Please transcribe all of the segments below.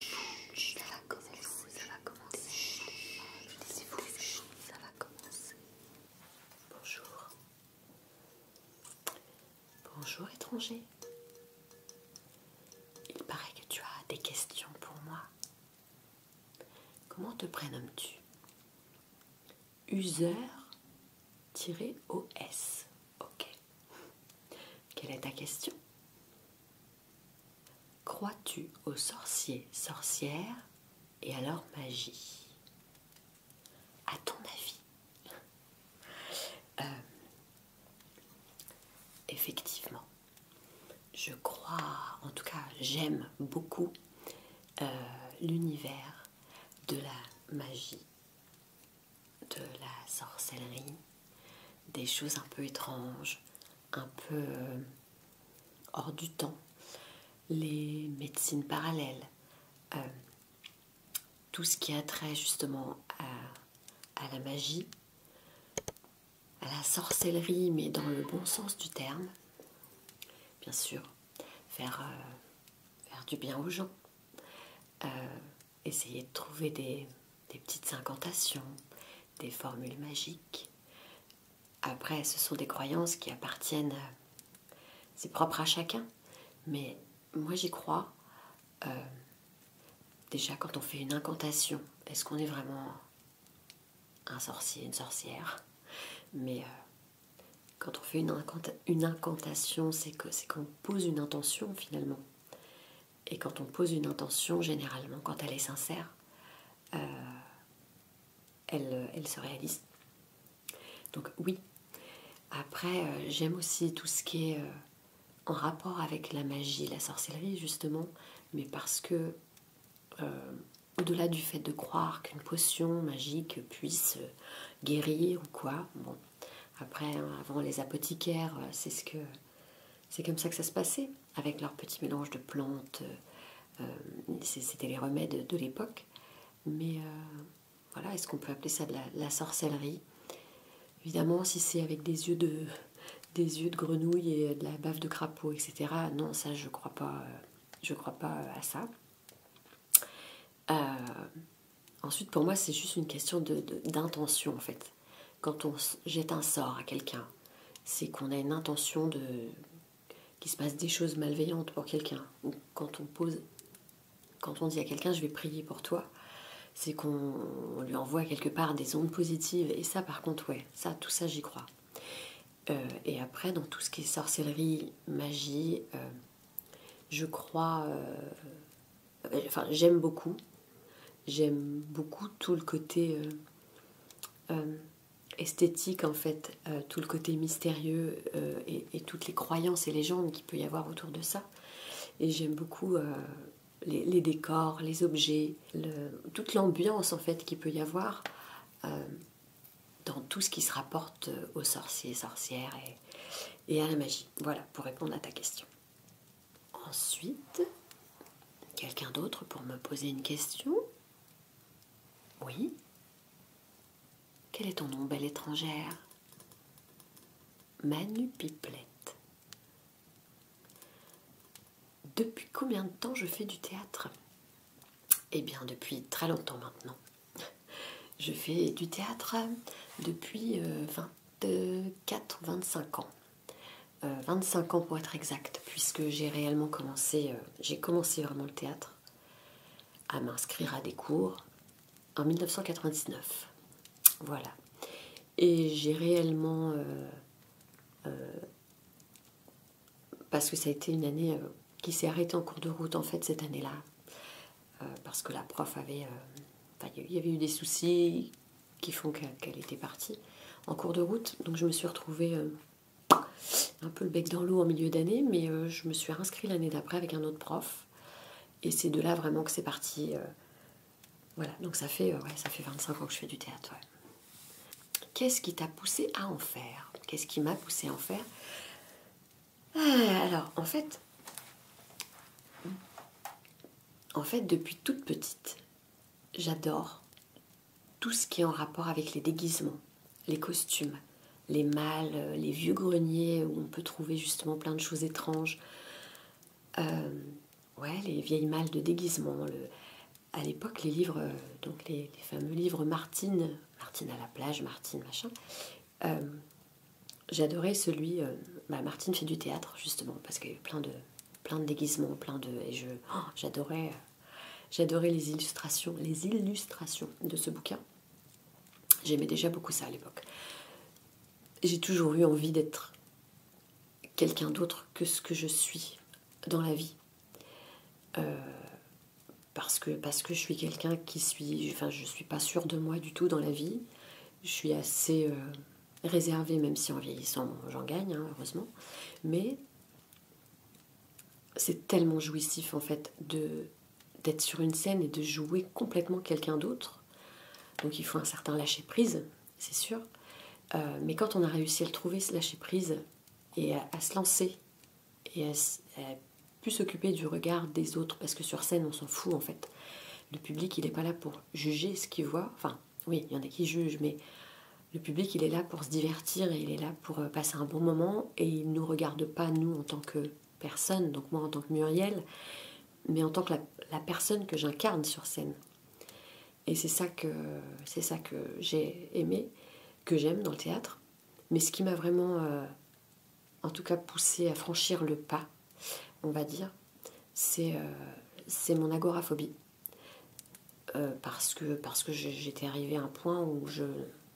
ça va commencer, ça va commencer. ça va commencer. Bonjour. Bonjour étranger. Il paraît que tu as des questions pour moi. Comment te prénommes-tu Useur-OS. Ok. Quelle est ta question Crois-tu aux sorciers, sorcières et à leur magie À ton avis euh, Effectivement, je crois, en tout cas j'aime beaucoup euh, l'univers de la magie, de la sorcellerie, des choses un peu étranges, un peu euh, hors du temps, les médecines parallèles, euh, tout ce qui a trait justement à, la magie, à la sorcellerie, mais dans le bon sens du terme, bien sûr, faire, euh, faire du bien aux gens essayer de trouver des, petites incantations, des formules magiques. Après, ce sont des croyances qui appartiennent, c'est propre à chacun, mais moi j'y crois. Euh, déjà, quand on fait une incantation, est-ce qu'on est vraiment un sorcier, une sorcière Mais euh, quand on fait une, incantation, c'est qu'on pose une intention finalement. Et quand on pose une intention, généralement, quand elle est sincère, euh, elle, se réalise. Donc oui. Après, euh, j'aime aussi tout ce qui est euh, en rapport avec la magie, la sorcellerie, justement, mais parce que, au-delà du fait de croire qu'une potion magique puisse guérir ou quoi, bon, après, hein, avant les apothicaires, c'est ce que c'est comme ça que ça se passait, avec leur petit mélange de plantes. Euh, euh, c'était les remèdes de l'époque. Mais euh, voilà, est-ce qu'on peut appeler ça de la, sorcellerie Évidemment, si c'est avec des yeux de des yeux de grenouille et de la bave de crapaud, etc. Non, ça, je crois pas. crois pas à ça. ensuite, pour moi, c'est juste une question d'intention, de, en fait quand on jette un sort à quelqu'un, c'est qu'on a une intention de qu'il se passe des choses malveillantes pour quelqu'un. Ou quand on pose, quand on dit à quelqu'un je vais prier pour toi, c'est qu'on lui envoie quelque part des ondes positives. Et ça, par contre, ouais, ça, tout ça, j'y crois. Euh, et après, dans tout ce qui est sorcellerie, magie, euh, je crois euh, euh, enfin j'aime beaucoup. J'aime beaucoup tout le côté euh, euh, esthétique en fait, tout le côté mystérieux et, toutes les croyances et légendes qu'il peut y avoir autour de ça. Et j'aime beaucoup les, décors, les objets, toute l'ambiance en fait qu'il peut y avoir dans tout ce qui se rapporte aux sorciers, sorcières et à la magie. Voilà pour répondre à ta question. Ensuite, quelqu'un d'autre pour me poser une question Oui Quel est ton nom, belle étrangère Manu Piplette Depuis combien de temps je fais du théâtre Eh bien, depuis très longtemps maintenant. Je fais du théâtre depuis 24-25 euh, ans. 25 euh, ans pour être exact, puisque j'ai réellement commencé, euh, j'ai commencé vraiment le théâtre à m'inscrire à des cours en 1999. Voilà. Et j'ai réellement, euh, parce que ça a été une année qui s'est arrêtée en cours de route en fait cette année-là, parce que la prof avait, il y avait eu des soucis qui font qu'elle était partie en cours de route. Donc je me suis retrouvée euh, un peu le bec dans l'eau en milieu d'année, mais euh, je me suis inscrite l'année d'après avec un autre prof. Et c'est de là vraiment que c'est parti. Euh, voilà, donc ça fait, ça fait 25 ans que je fais du théâtre. Qu'est-ce qui t'a poussé à en faire Qu'est-ce qui m'a poussé à en faire ah, Alors, en fait, en fait, depuis toute petite, j'adore tout ce qui est en rapport avec les déguisements, les costumes, les mâles, euh, les vieux greniers où on peut trouver justement plein de choses étranges. Euh, ouais, les vieilles malles de déguisement. Le, à l'époque, les livres, euh, donc les, fameux livres Martine, Martine à la plage, Martine machin. J'adorais celui. Bah, Martine fait du théâtre justement parce qu'il y a eu plein de, plein de déguisements, plein de. Et je, oh, j'adorais, j'adorais les illustrations, les illustrations de ce bouquin. J'aimais déjà beaucoup ça à l'époque. J'ai toujours eu envie d'être quelqu'un d'autre que ce que je suis dans la vie. Euh, parce, que, parce que je suis quelqu'un qui suis. Enfin, je suis pas sûre de moi du tout dans la vie. Je suis assez. Euh, réservé, même si en vieillissant, j'en gagne, hein, heureusement. Mais c'est tellement jouissif en fait de d'être sur une scène et de jouer complètement quelqu'un d'autre. Donc il faut un certain lâcher prise, c'est sûr. Euh, mais quand on a réussi à le trouver, ce lâcher prise, et à, se lancer, et à plus s'occuper du regard des autres, parce que sur scène on s'en fout en fait. Le public il n'est pas là pour juger ce qu'il voit, enfin oui, il y en a qui jugent, mais le public, il est là pour se divertir et il est là pour euh, passer un bon moment et il ne nous regarde pas, nous, en tant que personne, donc moi en tant que Muriel, mais en tant que la, personne que j'incarne sur scène. Et c'est ça que, ça que j'ai aimé, que j'aime dans le théâtre. Mais ce qui m'a vraiment, euh, en tout cas, poussé à franchir le pas, on va dire, c'est euh, mon agoraphobie. Euh, parce que, parce que j'étais arrivée à un point où je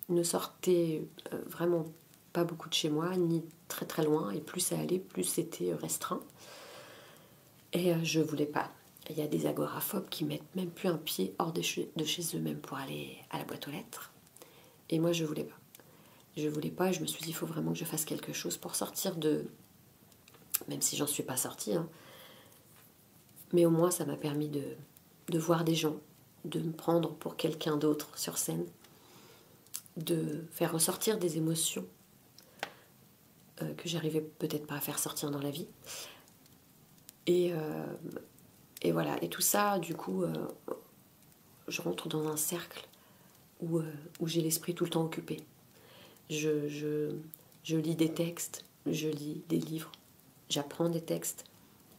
ne sortais euh, vraiment pas beaucoup de chez moi, ni très très loin, et plus ça allait, plus c'était restreint. Et je voulais pas. Il y a des agoraphobes qui mettent même plus un pied hors de chez, eux mêmes pour aller à la boîte aux lettres. Et moi, je voulais pas. Je voulais pas, je me suis dit, il faut vraiment que je fasse quelque chose pour sortir de, même si j'en suis pas sortie. Hein. Mais au moins, ça m'a permis de, voir des gens, de me prendre pour quelqu'un d'autre sur scène, de faire ressortir des émotions euh, que j'arrivais peut-être pas à faire sortir dans la vie. Et, euh, voilà, et tout ça, du coup, euh, je rentre dans un cercle euh, où, j'ai l'esprit tout le temps occupé. Je, lis des textes, je lis des livres, j'apprends des textes,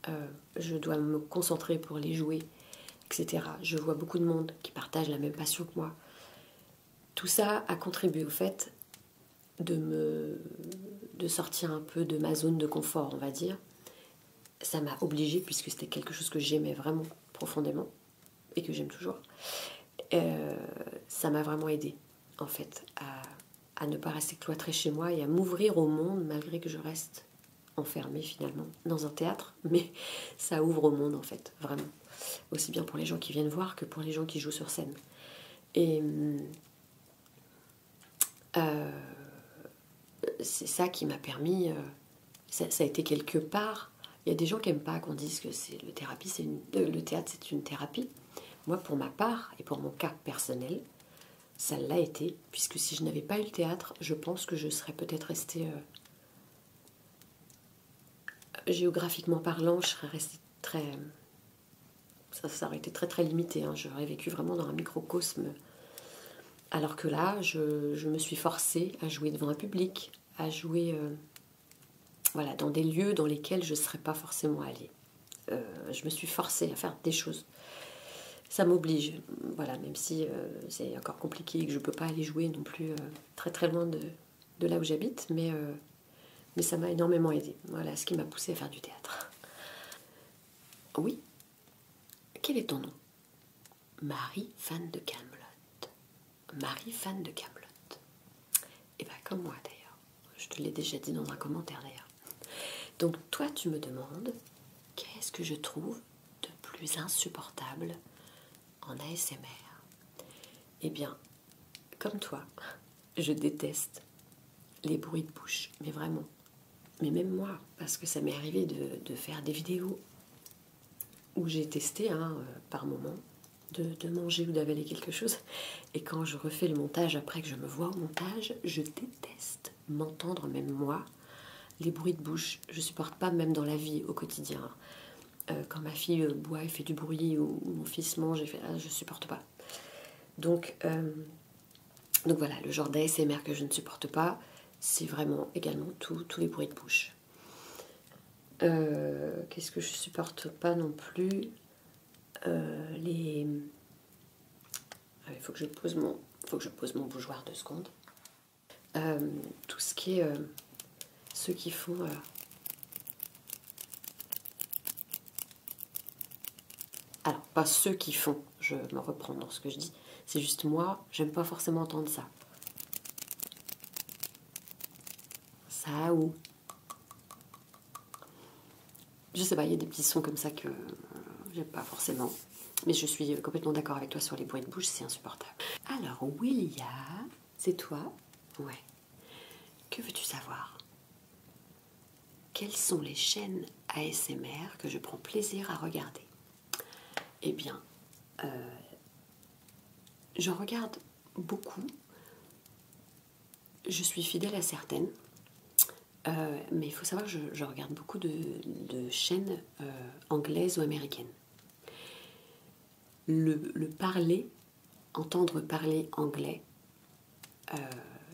euh, je dois me concentrer pour les jouer, etc. Je vois beaucoup de monde qui partage la même passion que moi. Tout ça a contribué au fait de me de sortir un peu de ma zone de confort, on va dire. Ça m'a obligée, puisque c'était quelque chose que j'aimais vraiment profondément, et que j'aime toujours, euh, ça m'a vraiment aidé en fait à, ne pas rester cloîtrée chez moi et à m'ouvrir au monde malgré que je reste enfermée finalement dans un théâtre, mais ça ouvre au monde en fait, vraiment. Aussi bien pour les gens qui viennent voir que pour les gens qui jouent sur scène. Et euh, c'est ça qui m'a permis euh, ça, a été quelque part. Il y a des gens qui n'aiment pas qu'on dise que c'est le c'est euh, le théâtre, c'est une thérapie. Moi, pour ma part et pour mon cas personnel, ça l'a été, puisque si je n'avais pas eu le théâtre, je pense que je serais peut-être restée euh, géographiquement parlant, je serais restée très ça, aurait été très très limité. Hein. J'aurais vécu vraiment dans un microcosme. Alors que là, je, me suis forcée à jouer devant un public, à jouer euh, voilà, dans des lieux dans lesquels je ne serais pas forcément allée. Euh, je me suis forcée à faire des choses. Ça m'oblige, voilà, même si euh, c'est encore compliqué et que je ne peux pas aller jouer non plus euh, très très loin de, là où j'habite, mais, ça m'a énormément aidée. Voilà ce qui m'a poussée à faire du théâtre. Oui. Quel est ton nom Marie, fan de Camelot. Marie, fan de Camelot. Et eh ben comme moi d'ailleurs. Je te l'ai déjà dit dans un commentaire d'ailleurs. Donc, toi, tu me demandes qu'est-ce que je trouve de plus insupportable en ASMR Eh bien, comme toi, je déteste les bruits de bouche, mais vraiment. Mais même moi, parce que ça m'est arrivé de faire des vidéos où j'ai testé hein, euh, par moment de, manger ou d'avaler quelque chose. Et quand je refais le montage, après que je me vois au montage, je déteste m'entendre, même moi, les bruits de bouche. Je ne supporte pas, même dans la vie au quotidien. Euh, quand ma fille euh, boit et fait du bruit, ou, mon fils mange et fait ah, je supporte pas. Donc, donc voilà, le genre d'ASMR que je ne supporte pas, c'est vraiment également tous les bruits de bouche. Euh, qu'est-ce que je supporte pas non plus euh, Les. il faut que je pose mon, faut que je pose mon bougeoir deux secondes. Euh, tout ce qui est ceux qui font alors pas ceux qui font je me reprends dans ce que je dis c'est juste moi j'aime pas forcément entendre ça ça ou. Je sais pas, il y a des petits sons comme ça que j'ai pas forcément. Mais je suis complètement d'accord avec toi sur les bruits de bouche, c'est insupportable. Alors, William, c'est toi Ouais. Que veux-tu savoir Quelles sont les chaînes ASMR que je prends plaisir à regarder Eh bien, euh, je j'en regarde beaucoup. Je suis fidèle à certaines. Euh, mais il faut savoir que je, regarde beaucoup de, chaînes euh, anglaises ou américaines. Le, parler, entendre parler anglais,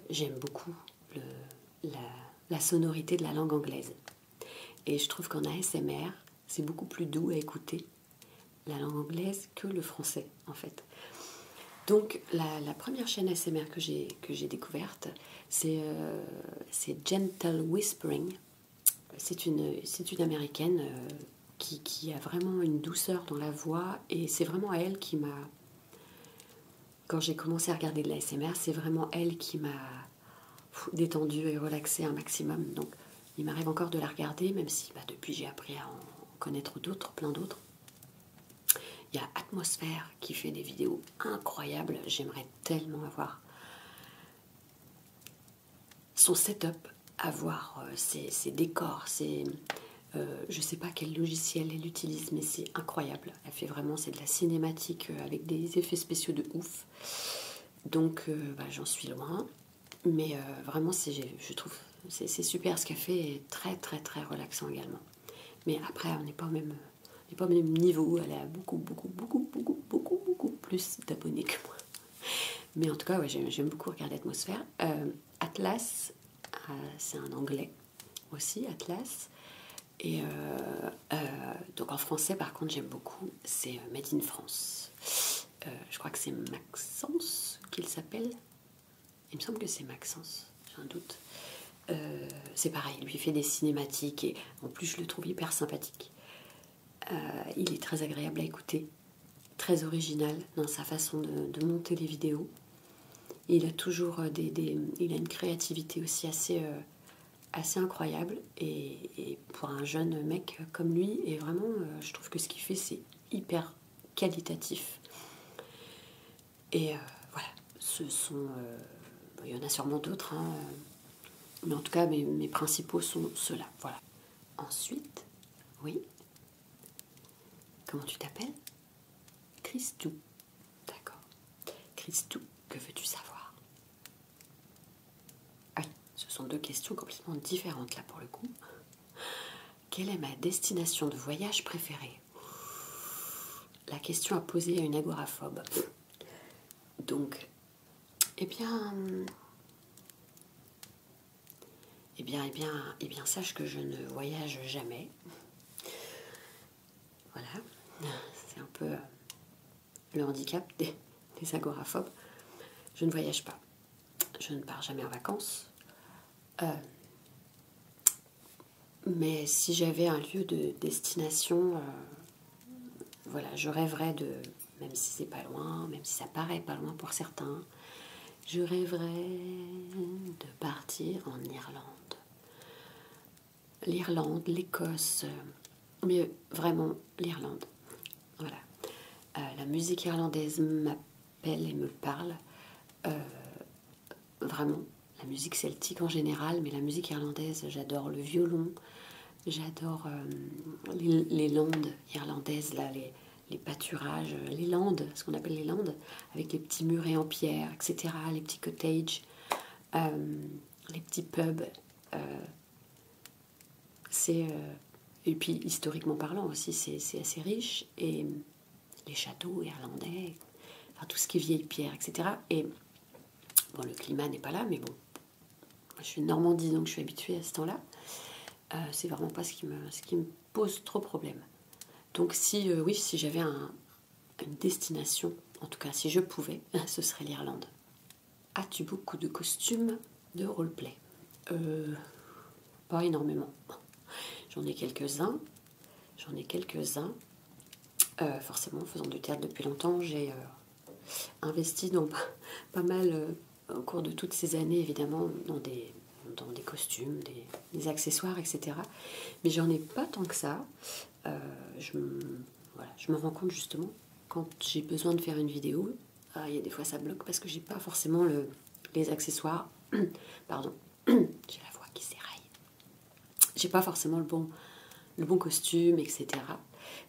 j'aime beaucoup la, la sonorité de la langue anglaise. Et je trouve qu'en ASMR, c'est beaucoup plus doux à écouter la langue anglaise que le français en fait. Donc la, première chaîne ASMR que j'ai découverte, euh, c'est Gentle Whispering. C'est une, américaine euh, qui, qui a vraiment une douceur dans la voix et c'est vraiment elle qui m'a... Quand j'ai commencé à regarder de l'ASMR, c'est vraiment elle qui m'a détendue et relaxée un maximum. Donc, il m'arrive encore de la regarder, même si bah, depuis j'ai appris à en connaître d'autres, plein d'autres. Il y a Atmosphère qui fait des vidéos incroyables. J'aimerais tellement avoir son setup, avoir euh, ses, décors, ses, euh, je sais pas quel logiciel elle utilise, mais c'est incroyable. Elle fait vraiment, c'est de la cinématique euh, avec des effets spéciaux de ouf. Donc, bah, j'en suis loin mais euh, vraiment je trouve c'est super ce qu'elle fait très très très relaxant également mais après on n'est pas au même pas même niveau elle a beaucoup beaucoup beaucoup beaucoup beaucoup beaucoup plus d'abonnés que moi mais en tout cas j'aime beaucoup regarder l'atmosphère euh, Atlas euh, c'est un anglais aussi Atlas et donc en français par contre j'aime beaucoup c'est Made in France euh, je crois que c'est Maxence qu'il s'appelle. Il me semble que c'est Maxence, j'ai un doute. Euh, c'est pareil, lui fait des cinématiques et en plus je le trouve hyper sympathique. Euh, il est très agréable à écouter, très original dans sa façon de, monter les vidéos. Il a toujours des, a une créativité aussi assez, assez incroyable et pour un jeune mec comme lui, et vraiment, euh, je trouve que ce qu'il fait, c'est hyper qualitatif. Et euh, voilà, ce sont. Euh, il y en a sûrement d'autres, hein, mais en tout cas, mes, principaux sont ceux-là. Voilà. Ensuite, oui. Comment tu t'appelles Christou. D'accord. Christou, que veux-tu savoir ah, ce sont deux questions complètement différentes là pour le coup. Quelle est ma destination de voyage préférée La question à poser à une agoraphobe. Donc, eh bien, eh bien, eh bien, eh bien, sache que je ne voyage jamais. Voilà, c'est un peu le handicap des, agoraphobes. Je ne voyage pas. Je ne pars jamais en vacances. Euh, mais si j'avais un lieu de destination, euh, voilà, je rêverais de, même si c'est pas loin, même si ça paraît pas loin pour certains, je rêverais de partir en Irlande. L'Irlande, l'Écosse, euh, mais vraiment l'Irlande. Voilà. Euh, la musique irlandaise m'appelle et me parle. Euh, vraiment, la musique celtique en général, mais la musique irlandaise, j'adore le violon, j'adore euh, les, landes irlandaises, les, pâturages, les landes, ce qu'on appelle les landes, avec les petits murets en pierre, etc., les petits cottages, les petits pubs. C'est euh, et puis historiquement parlant aussi, c'est assez riche et euh, les châteaux irlandais, tout ce qui est vieille pierre, etc. Et bon, le climat n'est pas là, mais bon, je suis de Normandie donc je suis habituée à ce temps-là. Euh, c'est vraiment pas ce qui me, pose trop problème. Donc si oui, si j'avais une destination, en tout cas si je pouvais, ce serait l'Irlande. As-tu beaucoup de costumes de roleplay euh, Pas énormément. J'en ai quelques-uns. J'en ai quelques-uns. Euh, forcément, forcément, faisant du théâtre depuis longtemps, j'ai euh, investi pas, mal, au cours de toutes ces années, évidemment, dans des, dans des costumes, des, accessoires, etc. Mais j'en ai pas tant que ça. je me rends compte justement quand j'ai besoin de faire une vidéo, euh, il y a des fois ça bloque parce que j'ai pas forcément les accessoires. Pardon, j'ai la voix qui s'éraille. J'ai pas forcément le bon, le bon costume, etc.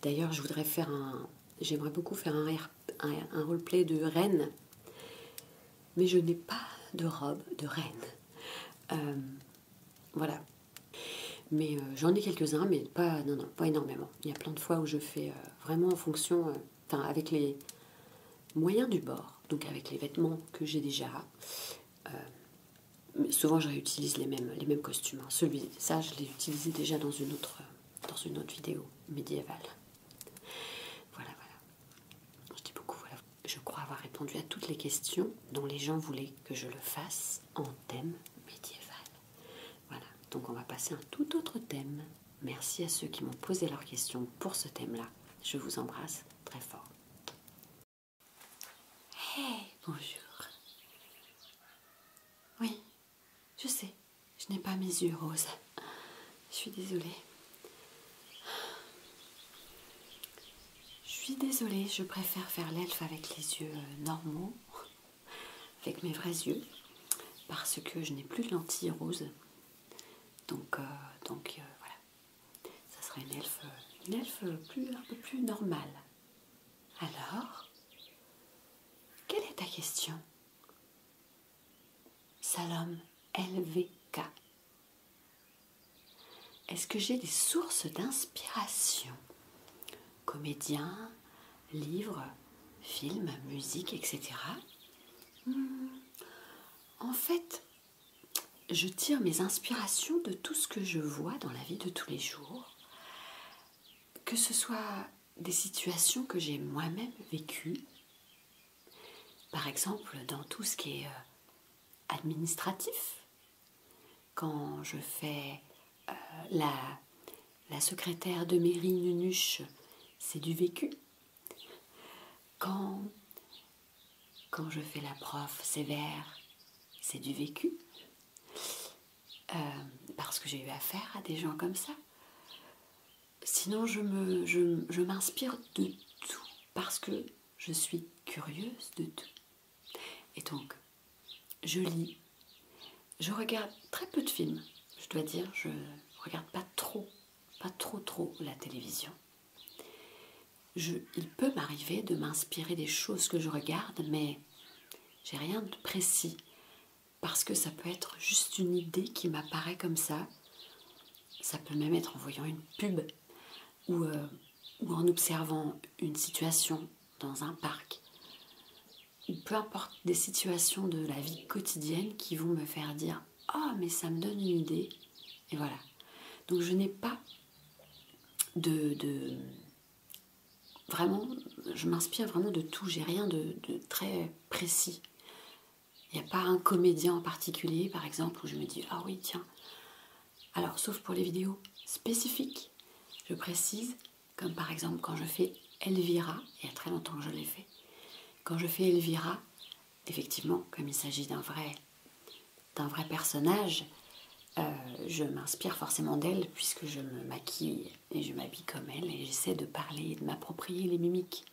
D'ailleurs, je voudrais faire un. J'aimerais beaucoup faire un, un, roleplay de reine, mais je n'ai pas de robe de reine. Euh, voilà. Mais euh, j'en ai quelques-uns, mais pas, non, pas énormément. Il y a plein de fois où je fais euh, vraiment en fonction, euh, enfin, avec les moyens du bord, donc avec les vêtements que j'ai déjà. Euh, mais souvent, je réutilise les mêmes, les mêmes costumes. Hein. Celui, ça, je l'ai utilisé déjà dans une autre, dans une autre vidéo médiévale. Voilà, voilà. Je dis beaucoup, voilà. Je crois avoir répondu à toutes les questions dont les gens voulaient que je le fasse en thème médiéval. Voilà, donc on va passer à un tout autre thème. Merci à ceux qui m'ont posé leurs questions pour ce thème-là. Je vous embrasse très fort. Hey, bonjour. Oui, je sais, je n'ai pas mes yeux roses. Je suis désolée. Je suis désolée, je préfère faire l'elfe avec les yeux euh, normaux avec mes vrais yeux parce que je n'ai plus de lentilles roses. Donc, euh, donc euh, voilà, ça serait une elfe, plus, un peu plus normale. Alors, quelle est ta question Salom LVK. Est-ce que j'ai des sources d'inspiration comédiens, livres, films, musique, etc. Hmm. En fait, je tire mes inspirations de tout ce que je vois dans la vie de tous les jours, que ce soit des situations que j'ai moi-même vécues, par exemple dans tout ce qui est euh, administratif, quand je fais euh, la, secrétaire de mairie Nenuche, c'est du vécu. Quand, quand je fais la prof sévère, c'est du vécu. Euh, parce que j'ai eu affaire à des gens comme ça. Sinon, je m'inspire de tout parce que je suis curieuse de tout. Et donc, je lis, je regarde très peu de films, je dois dire, je ne regarde pas trop, pas trop trop la télévision. il peut m'arriver de m'inspirer des choses que je regarde, mais j'ai rien de précis parce que ça peut être juste une idée qui m'apparaît comme ça. Ça peut même être en voyant une pub ou euh, en observant une situation dans un parc, peu importe des situations de la vie quotidienne qui vont me faire dire Ah, mais ça me donne une idée. Et voilà. Donc je n'ai pas de, vraiment, je m'inspire vraiment de tout. J'ai rien de très précis. Il n'y a pas un comédien en particulier, par exemple, où je me dis Ah oui, tiens. Alors, sauf pour les vidéos spécifiques, je précise, comme par exemple quand je fais Elvira, il y a très longtemps que je l'ai fait. Quand je fais Elvira, effectivement, comme il s'agit d'un vrai, d'un vrai personnage, euh, je m'inspire forcément d'elle puisque je me maquille et je m'habille comme elle et j'essaie de parler de m'approprier les mimiques.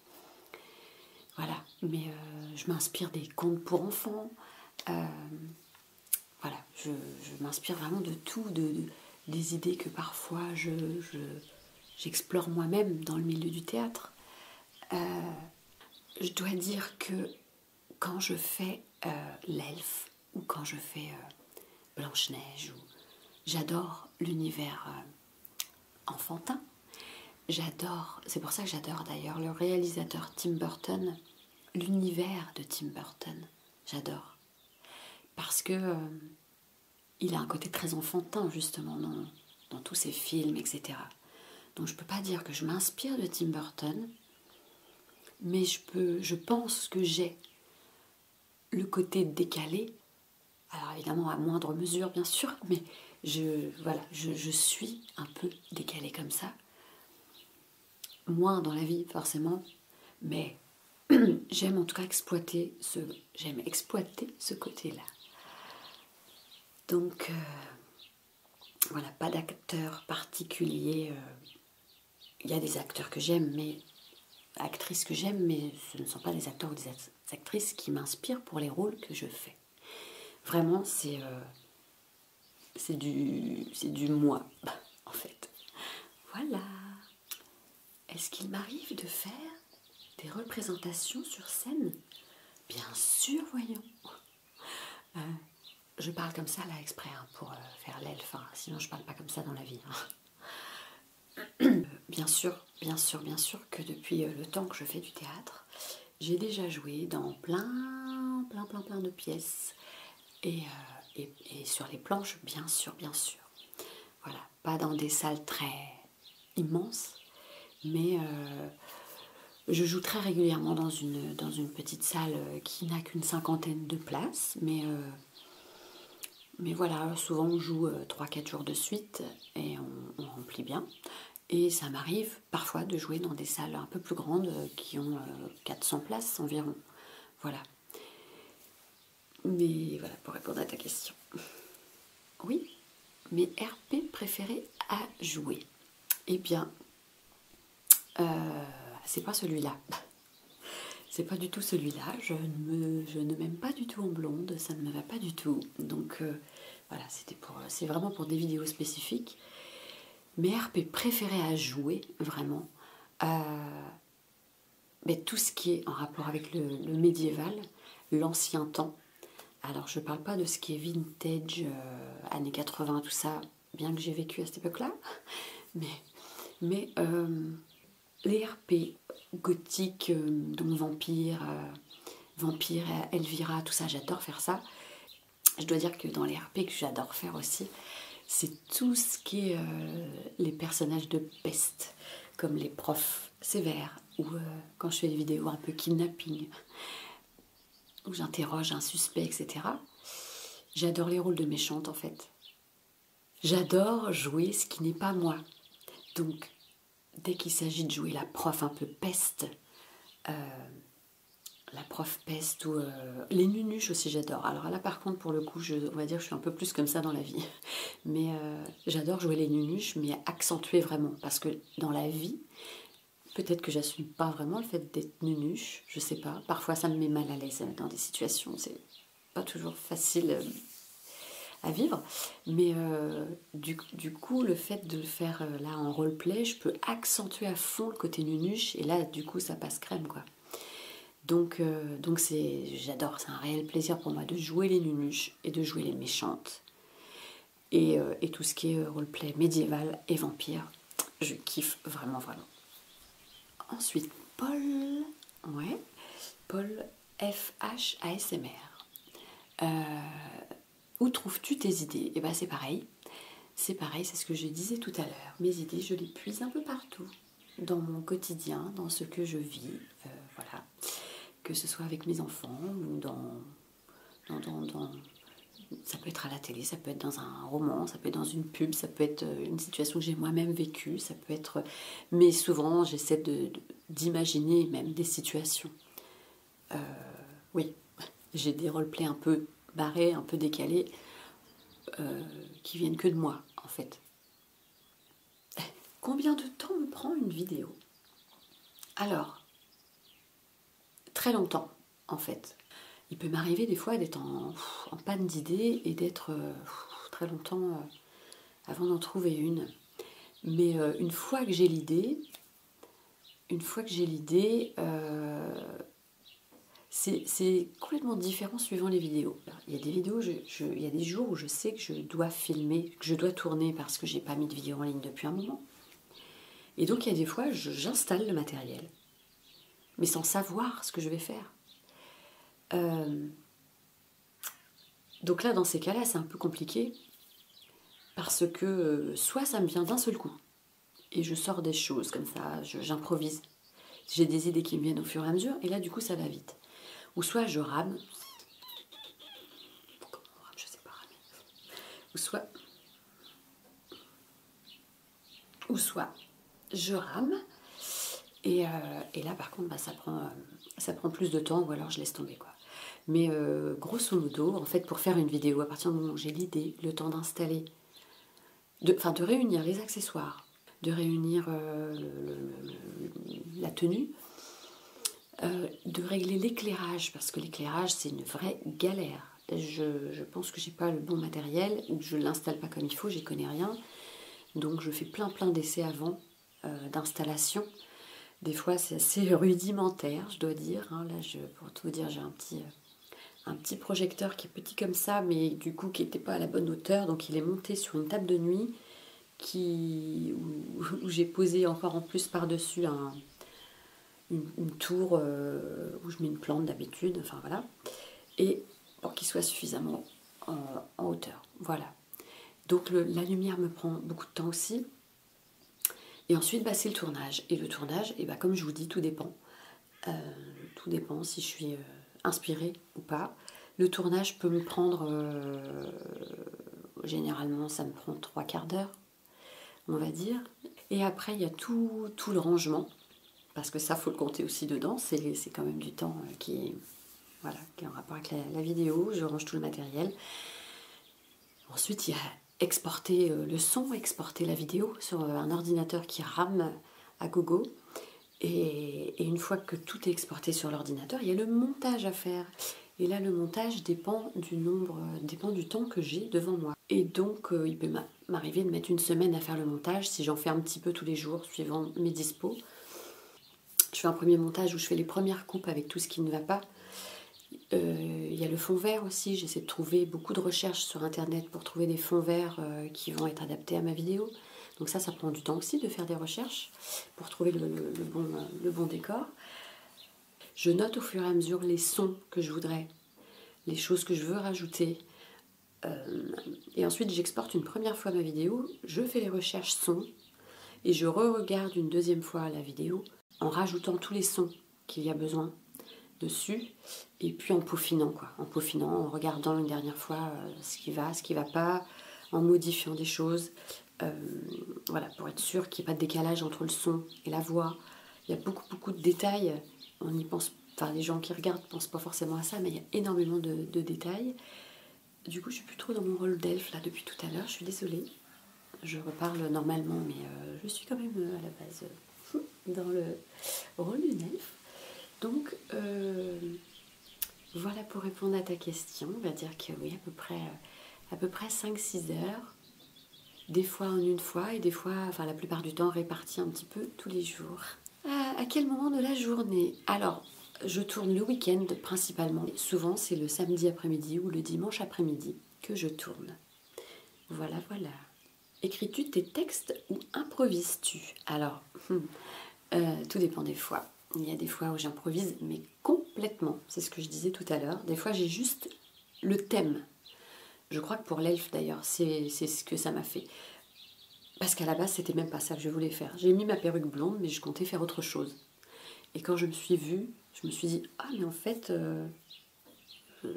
Voilà, mais euh, je m'inspire des contes pour enfants. Euh, voilà, je, m'inspire vraiment de tout, de, des idées que parfois j'explore moi-même dans le milieu du théâtre. Euh, je dois dire que quand je fais l'Elf euh, l'elfe ou quand je fais euh, Blanche-Neige, j'adore l'univers enfantin. J'adore, c'est pour ça que j'adore d'ailleurs le réalisateur Tim Burton, l'univers de Tim Burton. J'adore. Parce que euh, il a un côté très enfantin, justement, dans, tous ses films, etc. Donc je ne peux pas dire que je m'inspire de Tim Burton, mais je, pense que j'ai le côté décalé, alors évidemment à moindre mesure bien sûr, mais je, voilà, je, suis un peu décalé comme ça. Moins dans la vie forcément, mais j'aime en tout cas exploiter ce j'aime exploiter ce côté-là. Donc euh, voilà, pas d'acteurs particuliers. Euh, il y a des acteurs que j'aime, mais actrices que j'aime, mais ce ne sont pas des acteurs ou des actrices qui m'inspirent pour les rôles que je fais. Vraiment, c'est euh, c'est du c'est du moi en fait. Voilà. Est-ce qu'il m'arrive de faire des représentations sur scène Bien sûr, voyons. Euh, je parle comme ça là exprès hein, pour euh, faire l'elfe, sinon je parle pas comme ça dans la vie. Hein. Euh, bien sûr, bien sûr, bien sûr que depuis le temps que je fais du théâtre, j'ai déjà joué dans plein, plein, plein, plein de pièces. Euh, et, sur les planches, bien sûr, bien sûr. Voilà, pas dans des salles très immenses, mais euh, je joue très régulièrement dans une, dans une petite salle euh, qui n'a qu'une cinquantaine de places, mais, mais voilà, souvent on joue 3-4 jours de suite et on, on remplit bien. Et ça m'arrive parfois de jouer dans des salles un peu plus grandes qui ont 400 places environ. Voilà. Mais voilà, pour répondre à ta question. Oui, mais RP préférés à jouer. Eh bien, euh, c'est pas celui-là. C'est pas du tout celui-là. Je ne, m'aime pas du tout en blonde, ça ne me va pas du tout. Donc euh, voilà, c'était pour, c'est vraiment pour des vidéos spécifiques. Mes RP préférés à jouer, vraiment, euh, mais tout ce qui est en rapport avec le, médiéval, l'ancien temps. Alors je ne parle pas de ce qui est vintage, euh, années 80, tout ça, bien que j'ai vécu à cette époque-là, mais, euh, les RP gothiques, euh, donc vampire, vampire, Elvira, tout ça, j'adore faire ça. Je dois dire que dans les RP que j'adore faire aussi, c'est tout ce qui est euh, les personnages de peste, comme les profs sévères, ou euh, quand je fais des vidéos un peu kidnapping, où j'interroge un suspect, etc. J'adore les rôles de méchante en fait. J'adore jouer ce qui n'est pas moi. Donc, dès qu'il s'agit de jouer la prof un peu peste, euh, la prof peste ou euh, les nunuches aussi j'adore. Alors là par contre pour le coup je, on va dire je suis un peu plus comme ça dans la vie. Mais euh, j'adore jouer les nunuches mais accentuer vraiment. Parce que dans la vie, peut-être que je j'assume pas vraiment le fait d'être nunuche. Je sais pas. Parfois ça me met mal à l'aise dans des situations. C'est pas toujours facile euh, à vivre. Mais du, coup le fait de faire là en roleplay, je peux accentuer à fond le côté nunuche. Et là du coup ça passe crème quoi. Donc, euh, j'adore, c'est un réel plaisir pour moi de jouer les nunuches et de jouer les méchantes. Et, euh, tout ce qui est euh, roleplay médiéval et vampire, je kiffe vraiment, vraiment. Ensuite, Paul, ouais, Paul FH ASMR. où trouves-tu tes idées Et eh ben c'est pareil, c'est pareil, c'est ce que je disais tout à l'heure. Mes idées, je les puise un peu partout dans mon quotidien, dans ce que je vis, euh, voilà, que ce soit avec mes enfants ou dans, ça peut être à la télé, ça peut être dans un roman, ça peut être dans une pub, ça peut être euh, une situation que j'ai moi-même vécue, ça peut être, euh, mais souvent j'essaie d'imaginer même des situations. oui, j'ai des roleplays un peu barrés, un peu décalés, qui viennent que de moi en fait. Combien de temps me prend une vidéo Alors, très longtemps, en fait. Il peut m'arriver des fois d'être en, panne d'idées et d'être euh, très longtemps euh, avant d'en trouver une. Mais euh, une fois que j'ai l'idée, une fois que j'ai l'idée, c'est complètement différent suivant les vidéos. Il y a des vidéos, il y des jours où je sais que je dois filmer, que je dois tourner parce que j'ai pas mis de vidéo en ligne depuis un moment. Et donc il y a des fois, j'installe le matériel, mais sans savoir ce que je vais faire. Euh, donc là, dans ces cas-là, c'est un peu compliqué parce que euh, soit ça me vient d'un seul coup et je sors des choses comme ça, j'improvise, j'ai des idées qui me viennent au fur et à mesure, et là, du coup, ça va vite. Ou soit je rame. Ou soit. je rame. Et, euh, là, par contre, bah, euh, ça, prend, plus de temps, ou alors je laisse tomber, quoi. Mais euh, grosso modo, en fait, pour faire une vidéo, à partir du moment où j'ai l'idée, le temps d'installer de, réunir les accessoires, de réunir euh, la tenue, euh, de régler l'éclairage, parce que l'éclairage, c'est une vraie galère. Je, pense que j'ai pas le bon matériel, je l'installe pas comme il faut, j'y connais rien. Donc je fais plein plein d'essais avant euh, d'installation. Des fois c'est assez rudimentaire, je dois dire. Hein. Là, pour tout vous dire, j'ai un petit, un petit projecteur petit comme ça, mais du coup qui n'était pas à la bonne hauteur, donc il est monté sur une table de nuit qui, où, j'ai posé encore en plus par-dessus une, tour euh, où je mets une plante d'habitude, enfin voilà, et pour qu'il soit suffisamment euh, en hauteur. Voilà. Donc la lumière me prend beaucoup de temps aussi. Et ensuite, bah, c'est le tournage. Et le tournage, et bah, comme je vous dis, tout dépend. Euh, tout dépend si je suis euh, inspirée ou pas. Le tournage peut me prendre, euh, généralement ça me prend trois quarts d'heure, on va dire. Et après, il y a tout, tout le rangement, parce que ça, faut le compter aussi dedans, c'est quand même du temps qui, voilà, est en rapport avec la vidéo, je range tout le matériel. Ensuite, il y a exporter le son, exporter la vidéo sur un ordinateur qui rame à gogo. Et, une fois que tout est exporté sur l'ordinateur, il y a le montage à faire. Et là, le montage dépend du nombre, dépend du temps que j'ai devant moi. Et donc, euh, il peut m'arriver de mettre une semaine à faire le montage si j'en fais un petit peu tous les jours, suivant mes dispos. Je fais un premier montage où je fais les premières coupes avec tout ce qui ne va pas. Euh, il y a le fond vert aussi, j'essaie de trouver beaucoup de recherches sur internet pour trouver des fonds verts euh, qui vont être adaptés à ma vidéo. Donc ça, ça prend du temps aussi de faire des recherches pour trouver le, bon, décor. Je note au fur et à mesure les sons que je voudrais, les choses que je veux rajouter. Euh, et ensuite, j'exporte une première fois ma vidéo, je fais les recherches sons et je re-regarde une deuxième fois la vidéo en rajoutant tous les sons qu'il y a besoin dessus et puis en peaufinant, quoi, en peaufinant, en regardant une dernière fois euh, ce qui va, ce qui ne va pas, en modifiant des choses, euh, voilà, pour être sûr qu'il n'y ait pas de décalage entre le son et la voix. Il y a beaucoup, beaucoup de détails, on y pense, enfin les gens qui regardent ne pensent pas forcément à ça, mais il y a énormément de, détails. Du coup, je suis plus trop dans mon rôle d'elfe là depuis tout à l'heure, je suis désolée. Je reparle normalement, mais euh, je suis quand même à la base dans le rôle d'une elfe. Donc euh, voilà pour répondre à ta question, on va dire que oui, à peu près, à peu près 5-6 heures, des fois en une fois et des fois, enfin la plupart du temps répartis un petit peu tous les jours. À, quel moment de la journée Alors, je tourne le week-end principalement. Souvent, c'est le samedi après-midi ou le dimanche après-midi que je tourne. Voilà, voilà. Écris-tu tes textes ou improvises-tu Alors, hum, euh, tout dépend des fois. Il y a des fois où j'improvise, mais complètement, c'est ce que je disais tout à l'heure. Des fois, j'ai juste le thème. Je crois que pour l'elfe, d'ailleurs, c'est ce que ça m'a fait. Parce qu'à la base, c'était même pas ça que je voulais faire. J'ai mis ma perruque blonde, mais je comptais faire autre chose. Et quand je me suis vue, je me suis dit, ah, mais en fait, euh,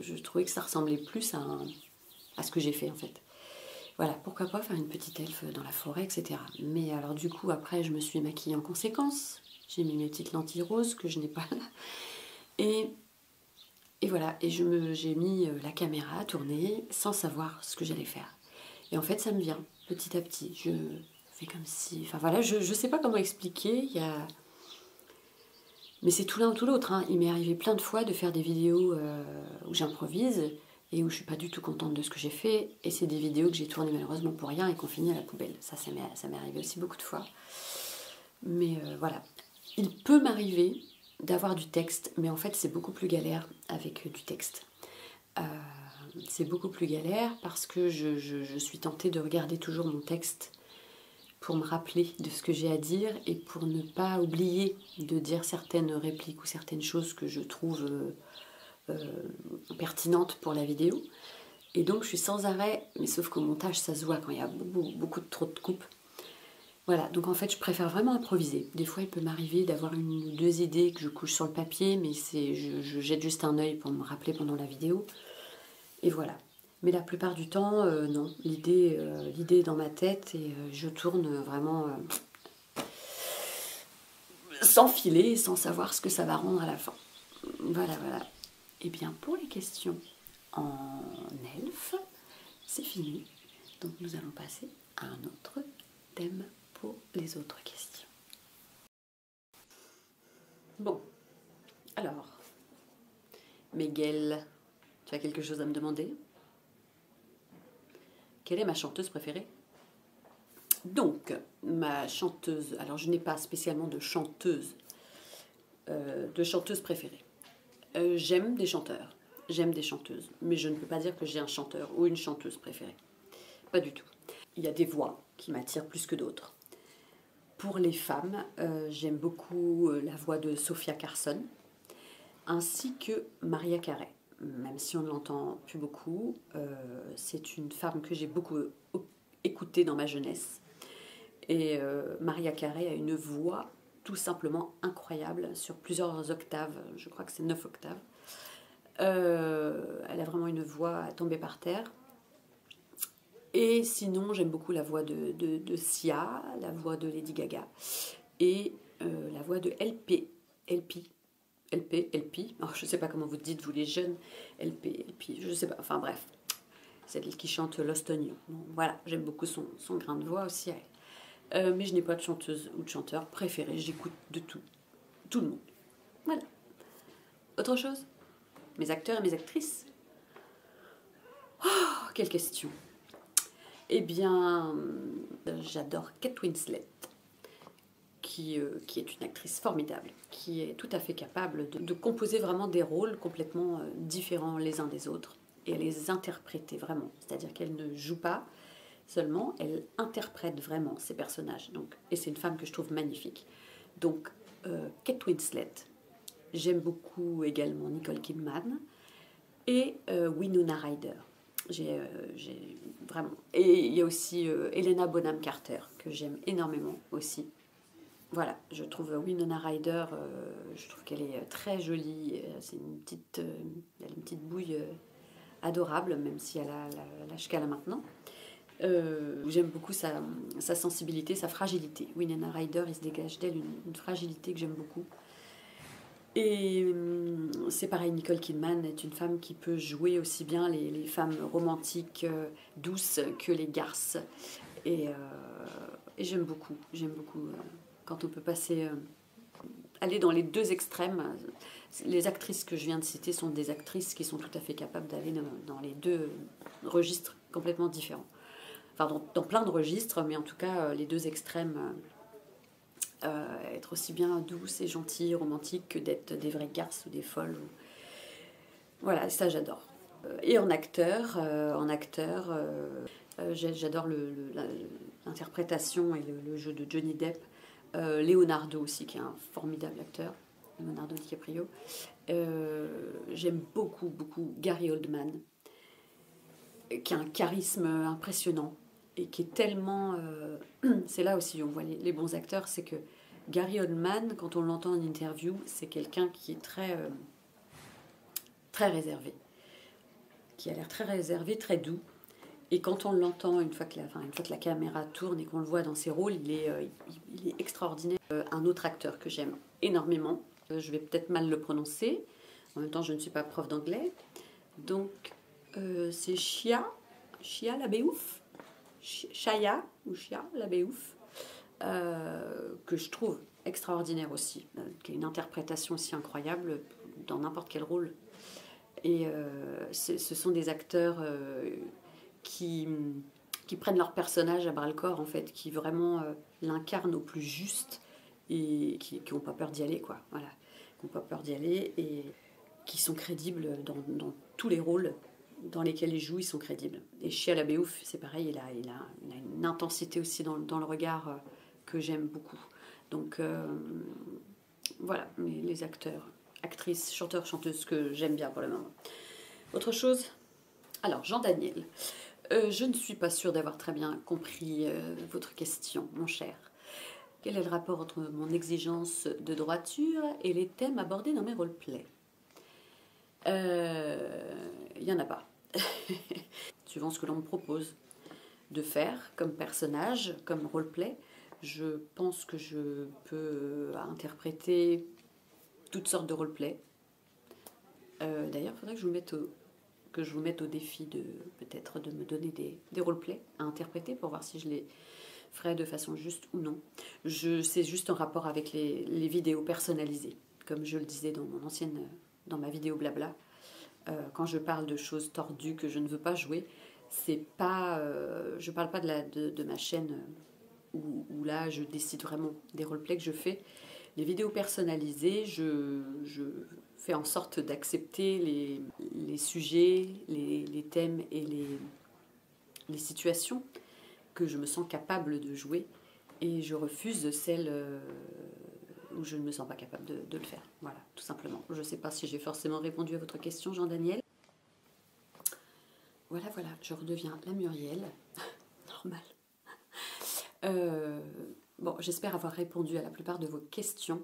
je trouvais que ça ressemblait plus à un, à ce que j'ai fait en fait. Voilà, pourquoi pas faire une petite elfe dans la forêt, etc. Mais alors du coup, après, je me suis maquillée en conséquence. J'ai mis mes petites lentilles roses que je n'ai pas là. Et, et voilà, et j'ai mis euh, la caméra à tourner sans savoir ce que j'allais faire. Et en fait, ça me vient petit à petit. Je fais comme si... Enfin voilà, je ne sais pas comment expliquer. Il Mais c'est tout l'un ou tout l'autre. Hein. Il m'est arrivé plein de fois de faire des vidéos euh, où j'improvise et où je suis pas du tout contente de ce que j'ai fait. Et c'est des vidéos que j'ai tournées malheureusement pour rien et qu'on finit à la poubelle. Ça, ça m'est arrivé aussi beaucoup de fois. Mais euh, voilà. Il peut m'arriver d'avoir du texte, mais en fait, c'est beaucoup plus galère avec euh, du texte. Euh, c'est beaucoup plus galère parce que je, suis tentée de regarder toujours mon texte pour me rappeler de ce que j'ai à dire et pour ne pas oublier de dire certaines répliques ou certaines choses que je trouve euh, euh, pertinentes pour la vidéo. Et donc je suis sans arrêt, mais sauf qu'au montage ça se voit quand il y a beaucoup, trop de coupes. Voilà, donc en fait je préfère vraiment improviser. Des fois il peut m'arriver d'avoir une ou deux idées que je couche sur le papier, mais je, jette juste un œil pour me rappeler pendant la vidéo. Et voilà. Mais la plupart du temps, euh, non, l'idée est dans ma tête et je tourne vraiment sans filer, sans savoir ce que ça va rendre à la fin. Voilà, voilà. Et eh bien pour les questions en elfe, c'est fini. Donc nous allons passer à un autre thème pour les autres questions. Bon, alors, Miguel, tu as quelque chose à me demander quelle est ma chanteuse préférée Donc, ma chanteuse, alors je n'ai pas spécialement de chanteuse, euh, de chanteuse préférée. Euh, j'aime des chanteurs, j'aime des chanteuses, mais je ne peux pas dire que j'ai un chanteur ou une chanteuse préférée. Pas du tout. Il y a des voix qui m'attirent plus que d'autres. Pour les femmes, euh, j'aime beaucoup la voix de Sophia Carson, ainsi que Maria Carey. Même si on ne l'entend plus beaucoup, euh, c'est une femme que j'ai beaucoup écoutée dans ma jeunesse. Et euh, Maria Carey a une voix tout simplement incroyable sur plusieurs octaves, je crois que c'est 9 octaves. Euh, elle a vraiment une voix à tomber par terre. Et sinon, j'aime beaucoup la voix de, Sia, la voix de Lady Gaga et euh, la voix de LP, LP, LP, LP. Oh, je ne sais pas comment vous dites, vous les jeunes, LP, LP, je ne sais pas, enfin bref. Celle qui chante l'Ostonia, voilà, j'aime beaucoup son, grain de voix aussi. Euh, mais je n'ai pas de chanteuse ou de chanteur préféré, j'écoute de tout, tout le monde. Voilà. Autre chose Mes acteurs et mes actrices oh, quelle question eh bien, euh, j'adore Kate Winslet, euh, qui, est une actrice formidable, qui est tout à fait capable de, composer vraiment des rôles complètement euh, différents les uns des autres et les interpréter vraiment. C'est-à-dire qu'elle ne joue pas seulement, elle interprète vraiment ses personnages. Donc, et c'est une femme que je trouve magnifique. Donc, Kate Winslet, j'aime beaucoup également Nicole Kidman et Winona Ryder. Euh, j'ai vraiment. Et il y a aussi euh, Elena Bonham Carter, que j'aime énormément aussi. Voilà, je trouve Winona Ryder, euh, je trouve qu'elle est très jolie. C'est une petite, elle une petite bouille adorable, même si elle a la la là maintenant. j'aime beaucoup sa, sensibilité, sa fragilité. Winona Ryder, il se dégage d'elle une, fragilité que j'aime beaucoup. Et hum, c'est pareil, Nicole Kidman est une femme qui peut jouer aussi bien les, femmes romantiques, euh, douces, que les garces. Et, euh, j'aime beaucoup, j'aime beaucoup euh, quand on peut passer, aller dans les deux extrêmes. Les actrices que je viens de citer sont des actrices qui sont tout à fait capables d'aller dans, les deux registres complètement différents. Enfin, dans, plein de registres, mais en tout cas, les deux extrêmes euh, être aussi bien douce et gentille, romantique que d'être des vraies garces ou des folles. Voilà, ça j'adore. Euh, et en acteur, euh, en acteur, j'adore l'interprétation et le, le, jeu de Johnny Depp. Leonardo aussi, qui est un formidable acteur, Leonardo DiCaprio. J'aime beaucoup, beaucoup Gary Oldman qui a un charisme impressionnant et qui est tellement... Euh, c'est là aussi où on voit les, bons acteurs, c'est que Gary Oldman, quand on l'entend en interview, c'est quelqu'un qui est très, euh, très réservé, qui a l'air très réservé, très doux. Et quand on l'entend, une, fois que la, une la caméra tourne et qu'on le voit dans ses rôles, il est euh, extraordinaire. un autre acteur que j'aime énormément, je vais peut-être mal le prononcer, en même temps je ne suis pas prof d'anglais, donc, euh, c'est Chia, Chia la Béouf, Chaya ou Chia la Béouf, euh, que je trouve extraordinaire aussi, euh, qui a une interprétation aussi incroyable dans n'importe quel rôle. Et ce sont des acteurs qui, qui prennent leur personnage à bras le corps, en fait, qui vraiment l'incarnent au plus juste et qui n'ont pas peur d'y aller, quoi. Voilà, qui n'ont pas peur d'y aller et qui sont crédibles dans, tous les rôles dans lesquels ils jouent, ils sont crédibles. Et chez la c'est pareil, il a, une intensité aussi dans, le regard euh, que j'aime beaucoup. Donc euh, voilà, les, acteurs, actrices, chanteurs, chanteuses que j'aime bien pour le moment. Autre chose Alors, Jean Daniel. Euh, je ne suis pas sûre d'avoir très bien compris votre question, mon cher. Quel est le rapport entre mon exigence de droiture et les thèmes abordés dans mes roleplays Il euh, n'y en a pas. Suivant ce que l'on me propose de faire comme personnage, comme roleplay, je pense que je peux interpréter toutes sortes de roleplays. Euh, d'ailleurs, il faudrait que je vous mette au, que je vous mette au défi de peut-être de me donner des, des roleplays à interpréter pour voir si je les ferai de façon juste ou non. Je, c'est juste en rapport avec les, vidéos personnalisées, comme je le disais dans mon ancienne, dans ma vidéo blabla. Euh, quand je parle de choses tordues que je ne veux pas jouer, c'est pas, euh, je parle pas de, la, de, ma chaîne euh, où, là je décide vraiment des roleplays que je fais. Les vidéos personnalisées, je fait en sorte d'accepter les, sujets, les, thèmes et les, les, situations que je me sens capable de jouer et je refuse celles euh, où je ne me sens pas capable de, le faire. Voilà, tout simplement. Je ne sais pas si j'ai forcément répondu à votre question, Jean-Daniel. Voilà, voilà, je redeviens la Muriel. Normal. Euh, bon, j'espère avoir répondu à la plupart de vos questions.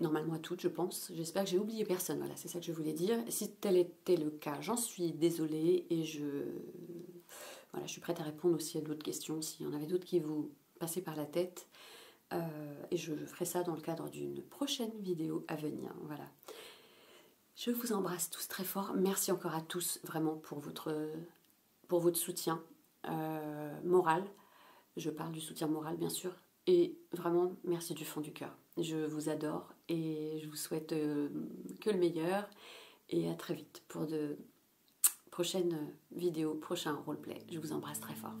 Normalement à toutes, je pense. J'espère que j'ai oublié personne. Voilà, c'est ça que je voulais dire. Si tel était le cas, j'en suis désolée et je, voilà, je suis prête à répondre aussi à d'autres questions s'il y en avait d'autres qui vous passaient par la tête. Euh, et je ferai ça dans le cadre d'une prochaine vidéo à venir. Voilà. Je vous embrasse tous très fort. Merci encore à tous vraiment pour votre pour votre soutien euh, moral. Je parle du soutien moral, bien sûr. Et vraiment, merci du fond du cœur. Je vous adore et je vous souhaite euh, que le meilleur. Et à très vite pour de prochaines vidéos, prochains roleplay. Je vous embrasse très fort.